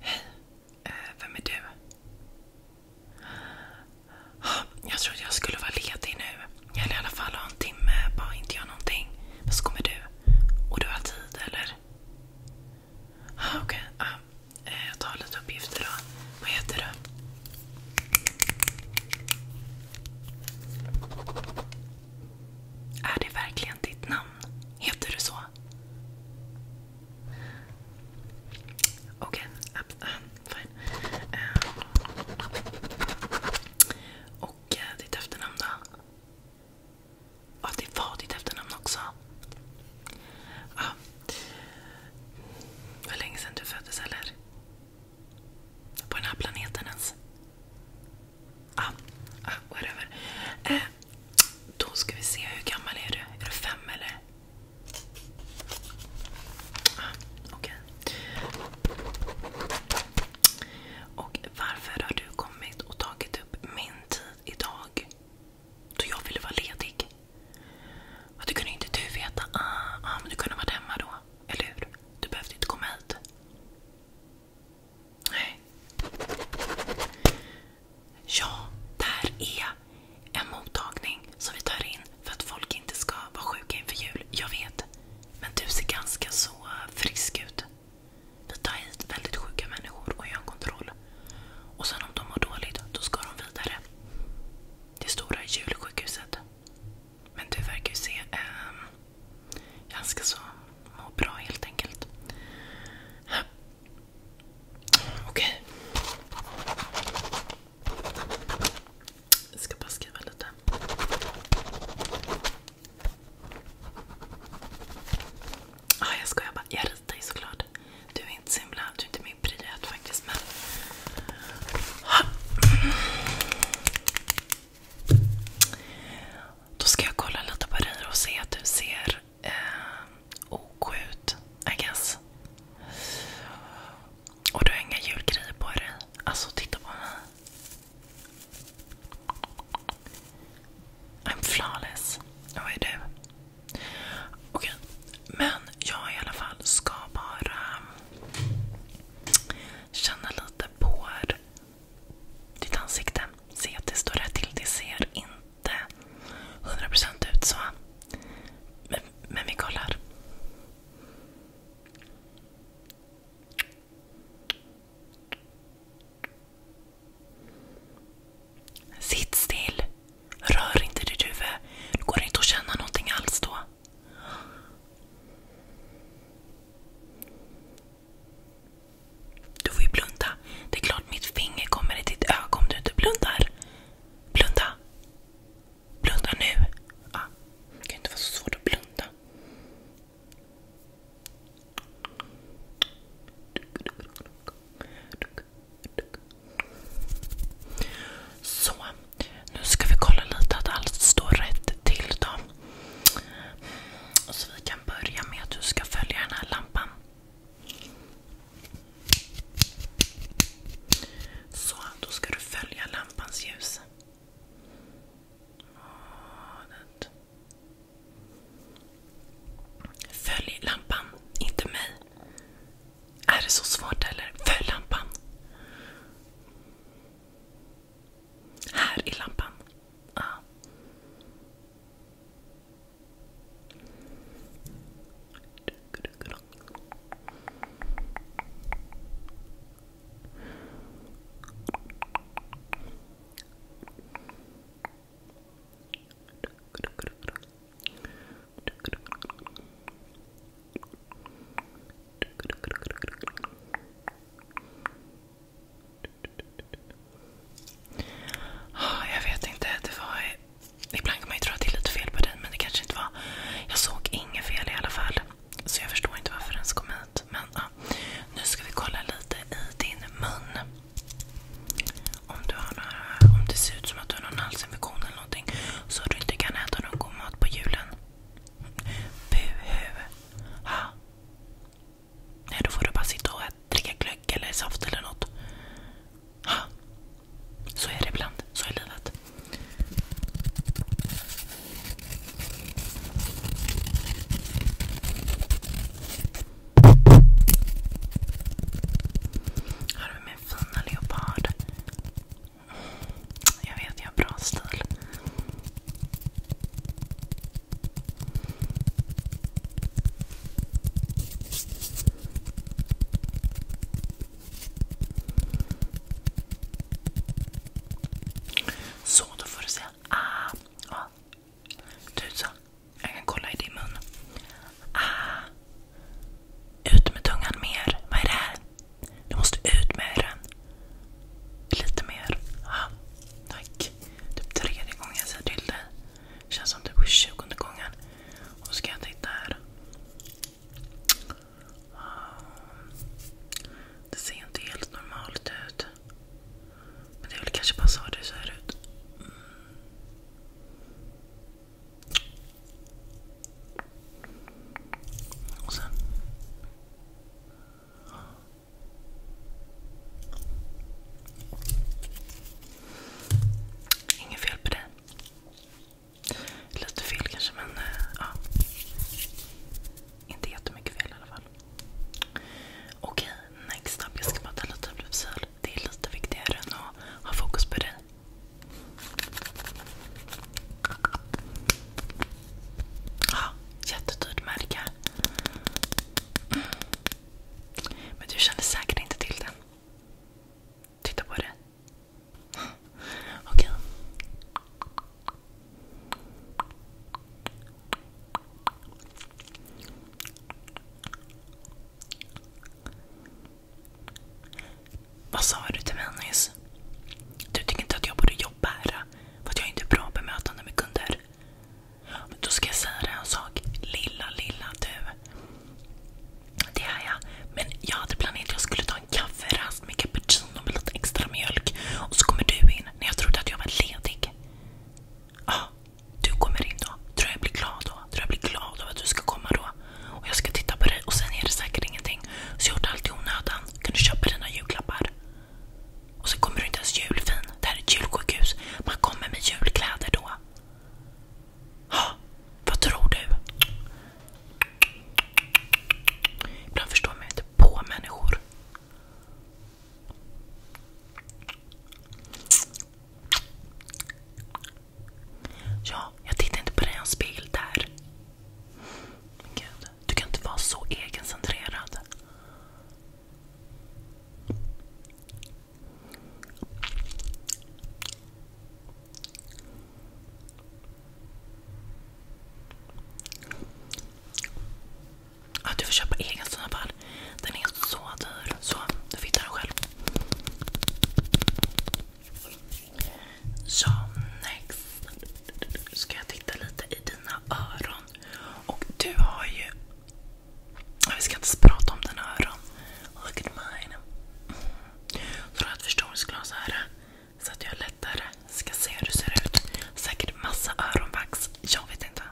Hej, eh, vem är du? Jag trodde jag skulle vara ledig nu. Eller i alla fall ha en timme, bara inte göra någonting. Men så kommer du. Och du har tid, eller? Okej, eh, jag tar lite uppgifter då. Vad heter du? Är det verkligen ditt namn? Heter du så? Okej, okay. Äh, fine. Ehm, och eh, ditt efternamn då? Ja, det var ditt efternamn också. Ja. Det var länge sedan du föddes eller? På den här planeten ens? Ah, ah, whatever. Eh, då ska vi se, hur gammal är du? Är du fem eller? Ah, Okej. Okay. Och varför har du kommit och tagit upp min tid idag? Då jag ville vara ledig. Ja, det kunde inte du veta. Ah, ah, men du kunde varit hemma då. Eller hur? Du behövde inte komma hit. Nej. Ja, där är en mottagning som vi tar in för att folk inte ska vara sjuka inför jul. Jag vet. Men du ser ganska så frisk ut. Vi tar hit väldigt sjuka människor och gör en kontroll. Och sen om de mår dåligt, då ska de vidare. Det stora julsjukhuset. Men du verkar ju se eh, Ganska så må bra helt enkelt. Okej. Jag ska bara skriva lite. ah, jag skojar bara. Jag ritar ju såklart. Du är inte så himla, du är inte min prioritet faktiskt. Men... Då ska jag kolla lite på dig och se att du ser eh, OK ut. I guess. Och du har inga julgrejer på dig. Alltså titta på mig. I'm flawless. Vad är du? Okej. Okay. Men jag i alla fall ska bara känna lite på ditt ansikte. Se att det står rätt till. Det ser inte 100% ut så. Men, men vi kollar. Sitt still. Rör inte ditt huvud. Det går inte att känna någonting alls då. Du får ju blunda. Det är klart mitt finger kommer i ditt öga om du inte blundar. Blunda. Blunda nu. Ja. Ah, det kan ju inte vara så svårt att blunda. Så, nu ska vi kolla lite att allt står rätt till dem. Så vi kan börja med att du ska följa den här lampan. Så, då ska du följa lampans ljus. Följ lampan, inte mig. Är det så svårt eller? Följ lampan. Här i lampan. Ja. Ah, jag vet inte. Det var... Ibland kan man ju tro att det är lite fel på dig, men det kanske inte var. Jag såg inget fel i alla fall. Så jag förstår inte varför den kom hit. Men ja. nu ska vi kolla lite i din mun. Om du, har några, om det ser ut som att du har någon halsinfektion eller någonting. Så du inte kan äta någon god mat på julen. Buhu. Ha. Nej, då får du bara sitta och dricka glögg eller saft eller något. Ha. Så är det ibland. Så är livet. Här har vi min fina leopard. Jag vet, jag har bra stil. Så, då får du säga ah. ah. jag kan kolla i din mun. Ah. Ut med tungan mer. Vad är det här? Du måste ut med den. Lite mer. Ah. Tack typ tredje gången jag säger till dig. Känns som typ tjugonde gången. Och ska jag titta här. Um, det ser inte helt normalt ut. Men det är väl kanske bara så det ser ut. Mm. Och sen... Inget fel på det. Lite fel kanske men eh, ja. Inte jättemycket fel i alla fall. Okej, next up. Jag ska bara ta lite blodsyl. Det är lite viktigare än att ha fokus på dig. Ja, jättetydligt märke. Men du känner säkert inte till den. Titta på det. Okej. Vad sa du till mig nyss? Du tycker inte att jag borde jobba här? För att jag är inte är bra bemötande med kunder? då ska jag säga dig en sak. Lilla, lilla du. Det är jag. Men jag hade planerat att jag skulle ta en kafferast med cappuccino med lite extra mjölk. Och så kommer du in när jag trodde att jag var ledig. Ja, ah, du kommer in då. Tror jag blir glad då? Tror jag blir glad av att du ska komma då? Och jag ska titta på dig och sen är det säkert ingenting. Så jag har gjort allt i onödan. Kan du köpa dina julklappar? Och så kommer du inte ens julfin. Det här är ett julsjukhus. Man kommer med julkläder då. Ja, vad tror du? Ibland förstår man inte på människor. Ja, jag tittar inte på dig i hans bild där. Gud. Du kan inte vara så egencentrerad. du får köpa egen sån Den är så dyr. Så, du får hitta den själv. Så, next. Ska jag titta lite i dina öron öron. Och du har ju... Vi ska inte prata om dina öron. Look at mine. Mm. Så du har ett förstoringsglas här. Så att jag lättare ska se hur du ser ut. Säkert massa öronvax. Jag vet inte.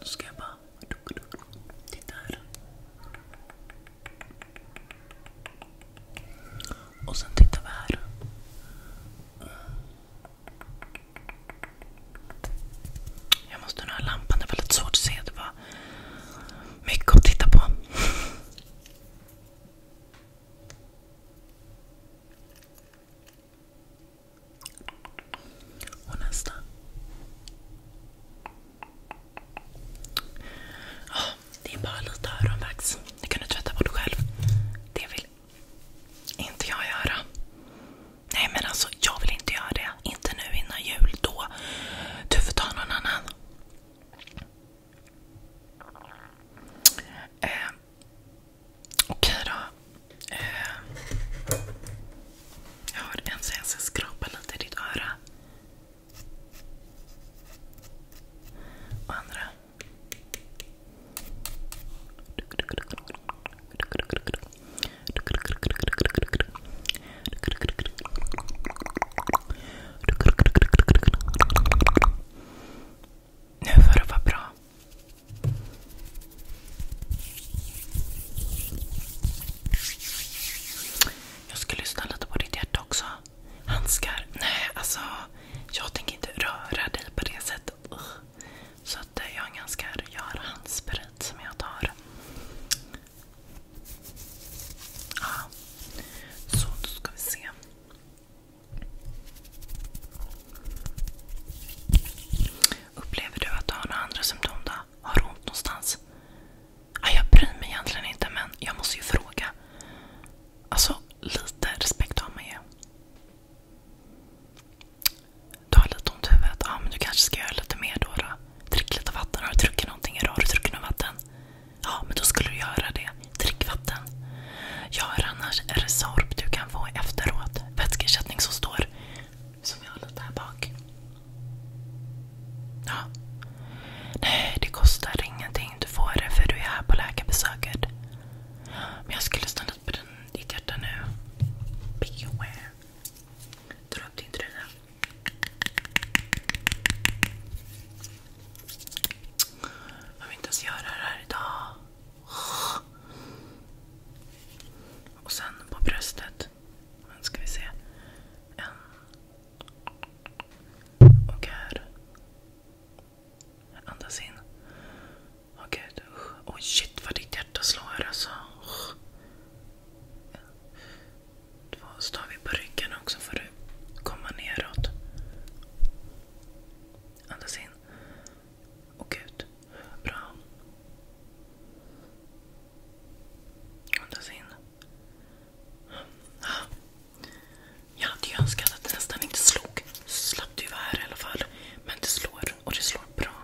Nu ska jag bara... Titta här. Och sen tittar vi här. Jag måste nu ha lampan, det är väldigt svårt att se. Det var mycket att titta på. Och nästa. Oh, det är bara lite öronvax. Det kan du tvätta bort själv. Det vill inte jag göra. Nej men alltså, jag vill inte göra det. Inte nu innan jul. Då. Du får ta någon annan. Eh, Okej då. Eh, jag har en så jag ska skrapa lite i ditt öra. Och andra. Nu får det vara bra. Jag ska lyssna lite på ditt hjärta också. Handskar? Nej, alltså. Jag tänker inte röra dig på det sättet. Så att eh, jag har en ganska rejäl handsprit som jag tar. Ja. Så, då ska vi se. Upplever du att du har några andra symptom då? Har du ont någonstans? Ah, jag bryr mig egentligen inte men jag måste ju fråga. Alltså, lite respekt har man ju. Du har lite ont i huvudet? Ja, men du kanske ska göra lite mer då. då. Drick lite vatten. Har du druckit någonting idag? Har du druckit något vatten? Ja, men då skulle du göra det. Drick vatten. Jag har annars Resorb du kan få efteråt vätskeersättning som står. Som jag har lite här bak. Ja. Nej, det kostar ingenting. Du får det för du är här på läkarbesöket. Men jag skulle stanna på den, ditt hjärta nu. Be aware. Dra upp din tröja. Jag vill inte ens göra det här idag. Och sen på bröstet. Nu ska vi se. En. Och här. Andas in. Åh gud. Åh oh, shit vad ditt hjärta slår alltså. Oh. Två stav på ryggen också får du komma neråt. Andas in. Och ut. Bra. Andas in. Jag hade ju önskat att det nästan inte slog. Slapp du vara här i alla fall. Men det slår. Och det slår bra.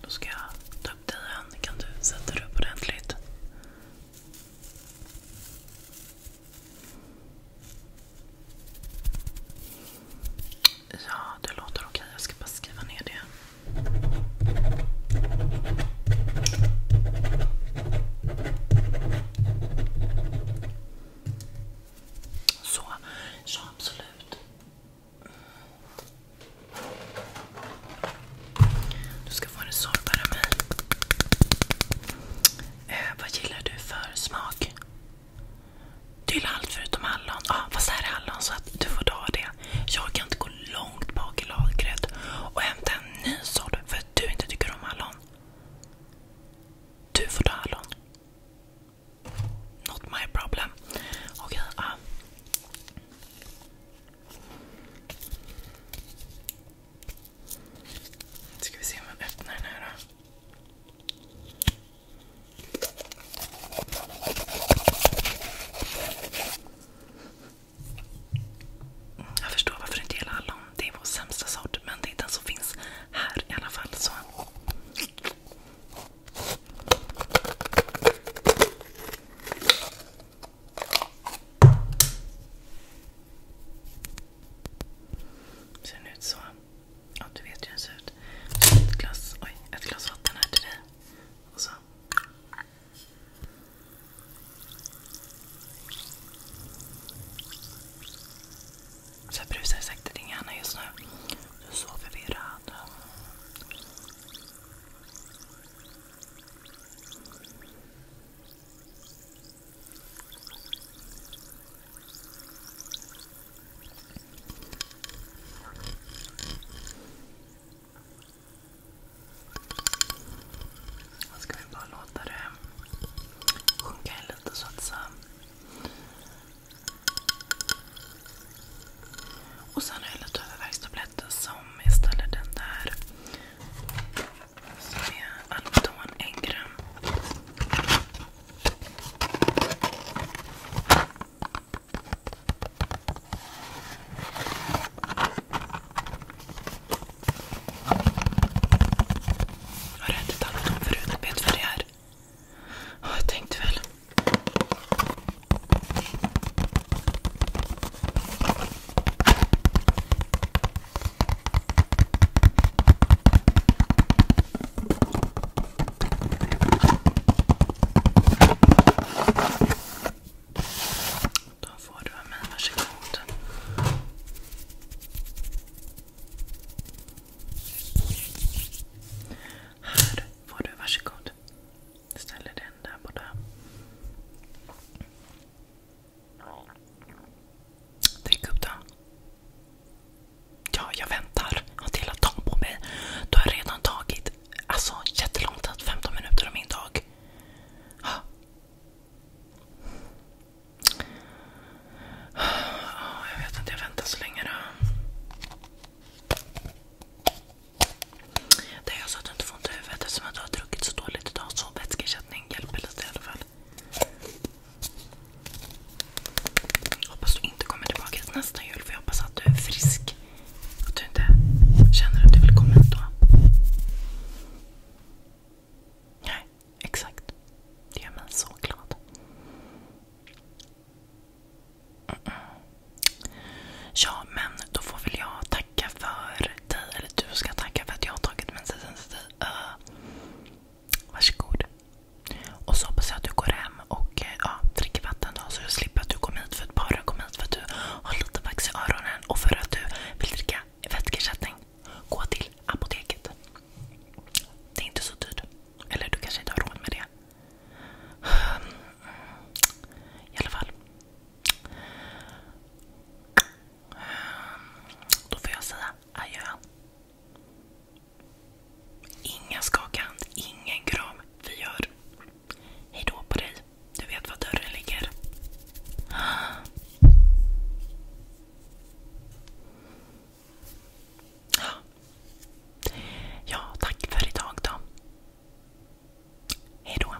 Då ska jag ta upp dig igen. Kan du sätta dig upp ordentligt? Ja, det låter okej. Jag ska bara skriva ner det. Så, ja absolut. Du ska få en sån karamell. Eh, vad gillar du för smak? Du gillar allt förutom hallon. Ja, ah, fast här är hallon så att du får ta det. Jag kan inte gå långt bak i lagret och hämta en ny sort för att du inte tycker om hallon. Du får ta hallon. Not my problem. Okej, okay, ah. Ska vi se om man öppnar den här då. Jag förstår varför inte gillar hallon. Det är vår sämsta sort, men det är den som finns här i alla fall. Så. Ser den ut så? Ja, du vet hur den ser ut. Ett glas, oj, ett glas vatten här till dig. Och så. Så jag brusar säkert i din hjärna just nu. Du är så förvirrad. Då ska vi bara låta det sjunka in lite så Och sen har jag lite huvudvärkstabletter som istället den där som är Alvedon 1 Har du ätit Alvedon förut? Vet vad det är? Ja, jag tänkte väl. Då får du av mig, varsågod. Här får du, varsågod. Ställer den där borta. Drick upp den. Ja, jag väntar. har till att på mig. Du har redan tagit alltså, jättelång tid. 15 minuter av min dag. Jag vet inte, jag väntar så länge då. Det inte ont i huvudet eftersom du har druckit så dåligt idag. Så vätskeersättning andning hjälper lite i alla fall. Hoppas du inte kommer tillbaka hit nästa jul för jag hoppas att du är frisk. Att du inte känner att du vill komma hit då. Nej, exakt. Det gör mig så glad. Ja, men då får väl jag tacka tacka för dig. Eller du ska tacka för att jag har tagit mensen till dig. Uh, varsågod. Och så hoppas jag att du går hem och eh, ja, dricker vatten då, så jag slipper att du kommer hit för att bara kom hit för att du har lite vax i öronen och för att du vill dricka vätskeersättning. Gå till apoteket. Det är inte så dyrt. Eller du kanske inte har råd med det. I alla fall. Då får jag säga adjö. Ingen skaka hand, ingen kram. Vi gör hejdå på dig. Du vet var dörren ligger. Ja, tack för idag då. Hejdå.